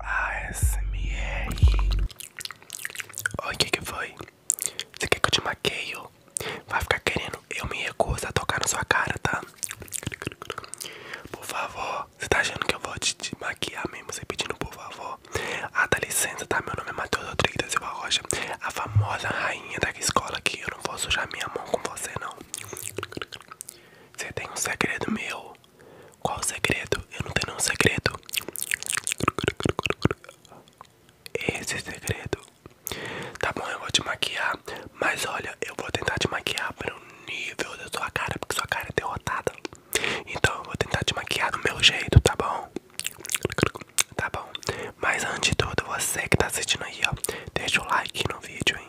ASMR Oi, que que foi? Você quer que eu te maqueio? Vai ficar querendo? Eu me recuso a tocar na sua cara, tá? Por favor, você tá achando que eu vou te, te maquiar mesmo? Você pedindo por favor? Ah, dá licença, tá? Meu nome é Matheus Rodrigues da Silva Rocha A famosa rainha da escola aqui Eu não vou sujar minha mão com você, não Você tem um segredo meu qual o segredo? Eu não tenho nenhum segredo. Esse segredo. Tá bom, eu vou te maquiar. Mas olha, eu vou tentar te maquiar para o nível da sua cara, porque sua cara é derrotada. Então eu vou tentar te maquiar do meu jeito, tá bom? Tá bom. Mas antes de tudo, você que tá assistindo aí, ó, deixa o like no vídeo, hein?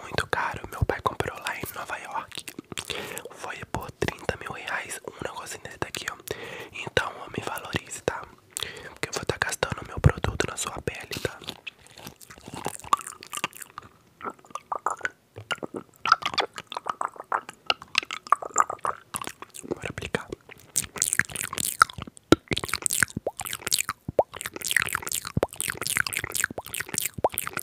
muito caro. Meu pai comprou lá em Nova York. Foi por 30 mil reais um negocinho desse daqui, ó. Então, ó, me valorize, tá? Porque eu vou estar tá gastando meu produto na sua pele, tá? Bora aplicar.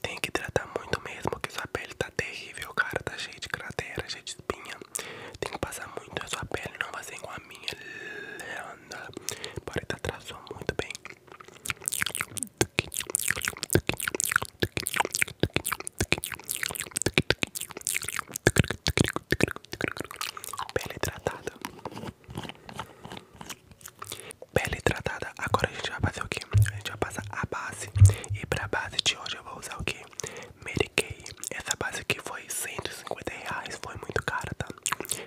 Tem que hidratar muito mesmo, porque sua pele tá terrível, cara, tá cheio de cratera, cheio de espinha. Tem que passar muito a sua pele, não vai ser igual a minha. Holanda. Porém, tá atrasou muito bem. Pele hidratada, Pele hidratada. Agora a gente vai fazer o que? A gente vai passar a base. E pra base de hoje eu vou usar o que? Medicaid. Essa base aqui foi 150 reais. Foi muito cara, tá?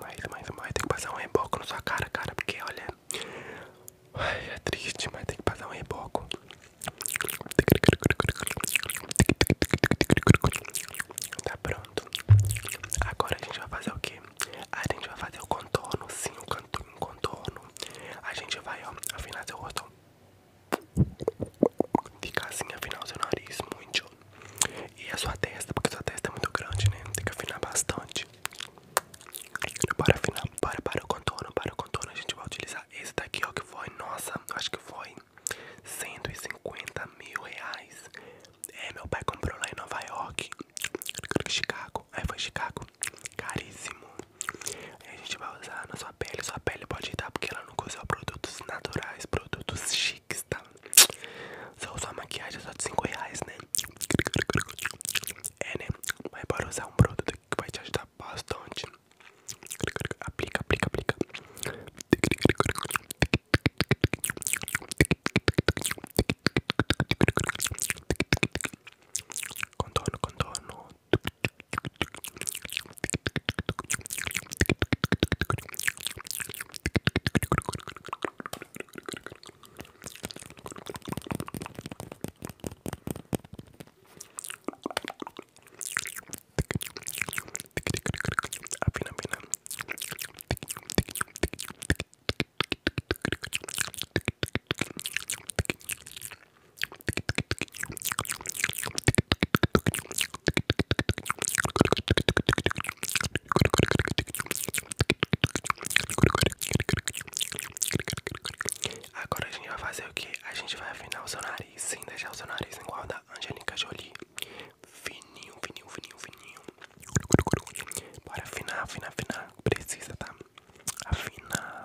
Mais, mais, mais. Tem que passar um reboco na sua cara, cara. Porque olha. é triste, mas tem que passar um reboco. Tá pronto. Agora a gente vai fazer o que? A gente vai fazer o contorno, sim, o cantinho contorno. A gente vai, ó, afinar seu rosto. ficar assim, afinar o seu nariz, muito. E a sua testa, porque sua testa é muito grande, né? Tem que afinar bastante. Bora afinar, bora para o contorno, para o contorno. A gente vai utilizar esse daqui, ó, é que foi, nossa, acho que foi 150 mil reais. É, meu pai comprou lá em Nova York, Chicago, aí é, foi Chicago, caríssimo. Aí a gente vai usar na sua pele, sua pele pode dar porque ela nunca usou produtos naturais, produtos chiques, tá? Só usar maquiagem só de 5 reais, né? É, né? Mas bora usar um produto vai te ajudar bastante. Aplica, aplica, aplica. Contorno, contorno. Afina, afina. Agora a gente vai fazer o que? A gente vai afinar o seu nariz nariz, sem deixar o seu nariz igual a da Angélica Jolie. Fininho, fininho, fininho, fininho. para afinar, afinar, afinar. Precisa, tá? Afinar.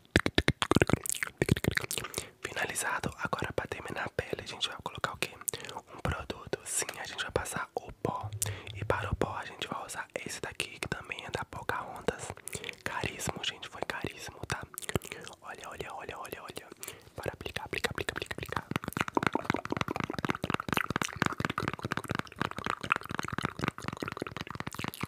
Finalizado, agora pra terminar a pele, a gente vai colocar o que? Um produto, sim, a gente vai passar o pó. E para o pó a gente vai usar esse daqui, que também é da ondas Caríssimo, gente, foi caríssimo, tá? Olha, olha, olha, olha, olha. Para aplicar, aplicar, aplicar, aplicar.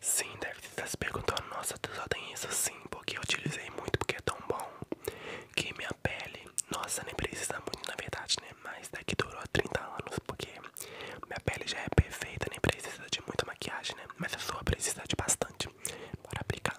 Sim, deve estar se perguntando, nossa, tu só tem isso sim, porque eu utilizei muito, porque é tão bom que minha pele, nossa, nem precisa muito na verdade, né? Mas daqui durou 30 anos, porque minha pele já é perfeita, nem precisa de muita maquiagem, né? Mas a sua precisa de bastante. Bora aplicar.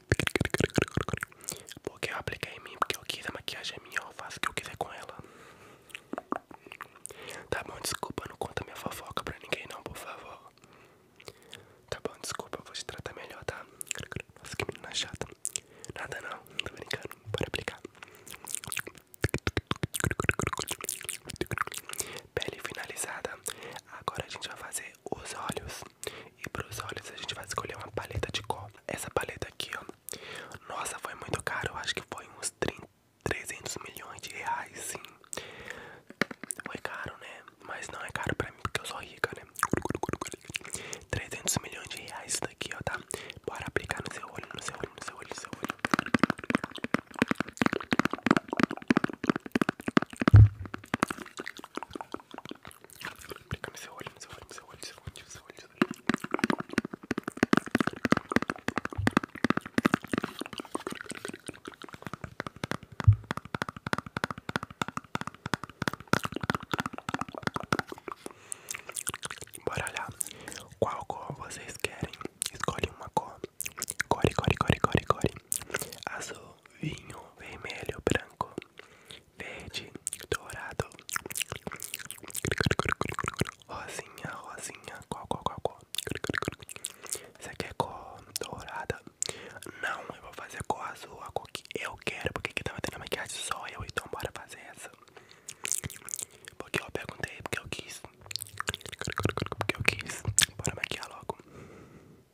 Porque eu apliquei em mim, porque eu quis, a maquiagem minha, eu faço o que eu quiser com ela. Tá bom, desculpa, não conta minha fofoca pra ninguém não, por favor. Tá bom, desculpa, eu vou te tratar melhor, tá? Nossa, que menina chata. Nada não, não tô brincando, bora aplicar. Pele finalizada. Agora a gente vai fazer os olhos. E pros olhos a gente vai escolher uma paleta de cor. Essa paleta aqui, ó. Nossa, foi muito caro. Eu acho que foi uns 30, 300 milhões de reais, sim. Foi caro, né? Mas não é caro pra mim porque eu sou rica, né? 300 milhões de reais isso daqui, ó, tá? Bora aplicar no seu olho, no seu olho, no seu olho, no seu olho. Clica no seu olho, no seu olho, no seu olho, no seu olho, Bora olhar qual cor vocês querem. Escolhe uma cor. Core, core, core, core, core. Azul, vinho, vermelho, branco verde, dourado, rosinha, rosinha, qual, qual, qual, qual? Você quer cor dourada? Não, eu vou fazer cor azul, a cor que eu quero, porque aqui tava tá tendo maquiagem só eu, então bora fazer essa. Porque eu perguntei, porque eu quis. Porque eu quis. Bora maquiar logo.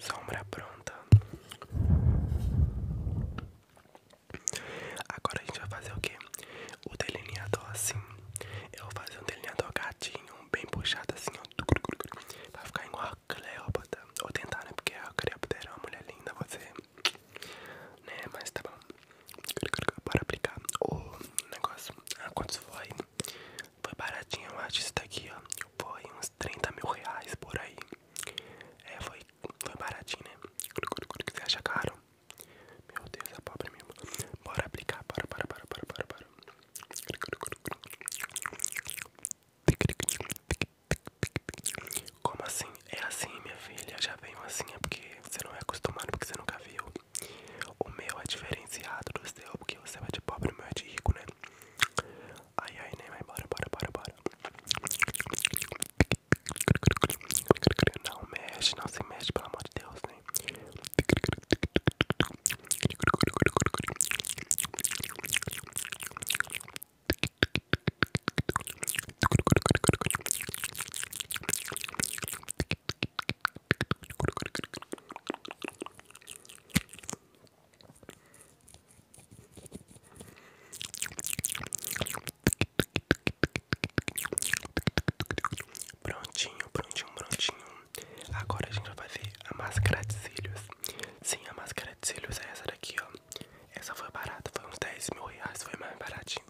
Sombra pronta. Agora a gente vai fazer o que? O delineador assim. Eu vou fazer um delineador gatinho, bem puxado assim, Vai ficar igual a Cleópatra. Vou tentar, né? Porque a Cleópatra era uma mulher linda, você. Né? Mas tá bom. Bora aplicar o negócio. Ah, quantos foi? Foi baratinho, eu acho. Isso daqui, ó. Foi uns 30 mil reais por aí. É, foi, foi baratinho, né? Você acha caro? Meu Deus, a é pobre mesmo. Bora aplicar. Bora, bora, bora, bora, bora, bora. Como assim? É assim, minha filha. Já veio assim, é porque você não é acostumado, porque você nunca viu. O meu é diferenciado do seu, porque você vai de pobre e o meu é de rico, né? Ai, ai, nem né? vai embora, bora, bora, bora. Não mexe, não se mexe, pelo amor de Deus, né? Prontinho, prontinho, prontinho. Agora a gente vai fazer a máscara de cílios. Sim, a máscara de cílios é essa daqui, ó. Essa foi barata, foi uns 10 mil reais, foi mais baratinho.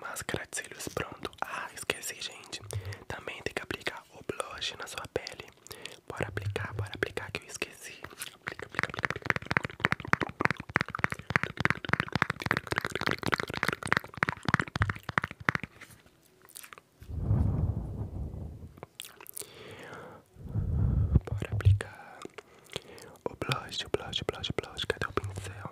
Máscara de cílios pronto. Ah, esqueci, gente. Também tem que aplicar o blush na sua pele. Bora aplicar, bora aplicar que eu esqueci. Aplica, aplica, aplica. Bora aplicar o blush, o blush, o blush, o blush. Cadê o pincel?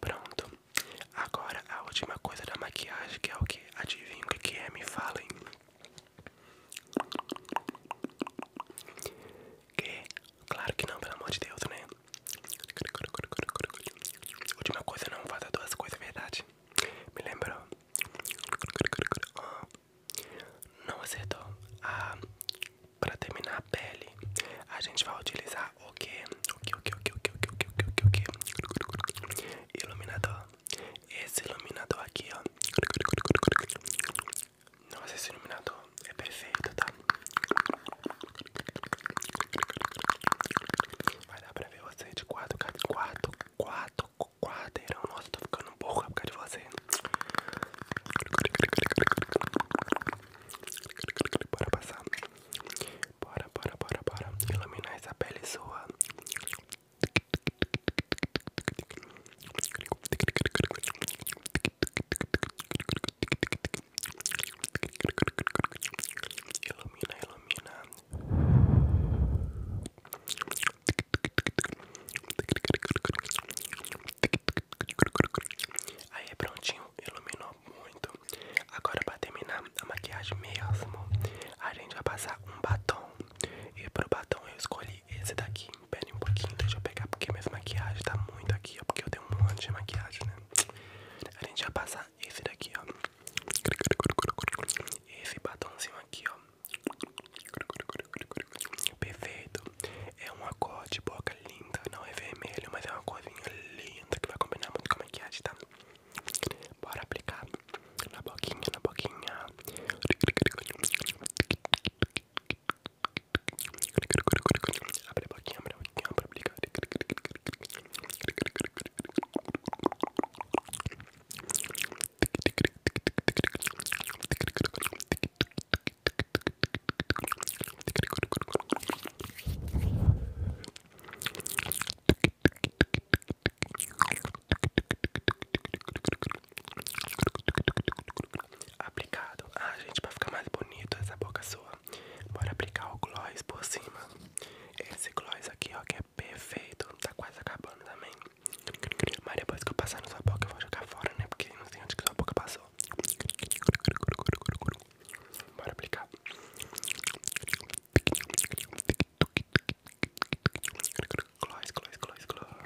Pronto. Agora a última coisa da maquiagem, que é o que? Adivinha o que é? Me falem. Que? Claro que não, pelo amor de Deus, né? Última coisa, não faça duas coisas, é verdade. Me lembrou. Não acertou. Ah, pra terminar a pele, a gente vai utilizar o que? O que, o que, o que, o que, o que, o que, o que, o que? o o que Iluminador. Esse iluminador aqui, ó. Nossa, esse iluminador é perfeito, tá? Vai dar pra ver você de quatro, quatro, quatro, quadrarão. Nossa, tô ficando burra por causa de você. Bora passar. Bora, bora, bora, bora. Iluminar essa pele sua. Ilumina, ilumina. Aí prontinho, iluminou muito. Agora para terminar a maquiagem mesmo, a gente vai passar um batom. E pro batom eu escolhi esse daqui. Pera um pouquinho, deixa eu pegar porque minha maquiagem tá muito aqui, porque eu tenho um monte de maquiagem, né? A gente vai passar esse daqui, ó. Esse batonzinho aqui, ó. Perfeito. É uma cor de boca linda. Não é vermelho, mas é uma corzinha linda que vai combinar muito com a maquiagem, tá? Bora aplicar na boquinha, na boquinha. Abre a boquinha, abre a boquinha pra aplicar. Aplicado. Ah, gente, pra ficar mais bonito essa boca sua. Bora aplicar o gloss por cima. Esse gloss aqui, ó, que é perfeito. Tá quase acabando também. Mas depois que eu passar na sua boca, eu vou jogar fora, né? Porque não sei onde que sua boca passou. Bora aplicar. Gloss, gloss, gloss, gloss.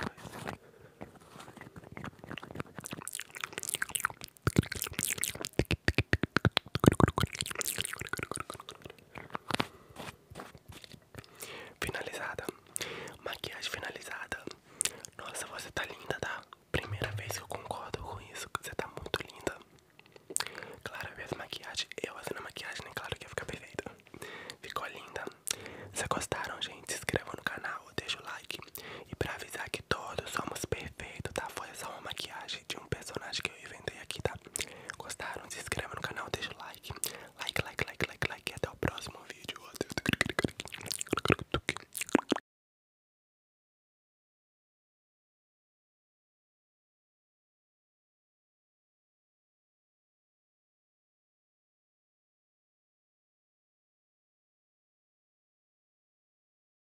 Finalizada, maquiagem finalizada. Nossa, você tá linda, tá? Primeira vez que eu concordo com isso. Você tá muito linda. Claro, eu vi as maquiagem. Eu fazendo a maquiagem, né? Claro que ia ficar perfeita. Ficou linda. Se gostaram, gente, se inscrevam no canal, deixa o like. E pra avisar que todos somos perfeitos, tá? Foi só uma maquiagem de um personagem que eu inventei aqui, tá? Gostaram? Se inscreva no canal, deixa o like. Like, like, like, like, like. E até o próximo vídeo.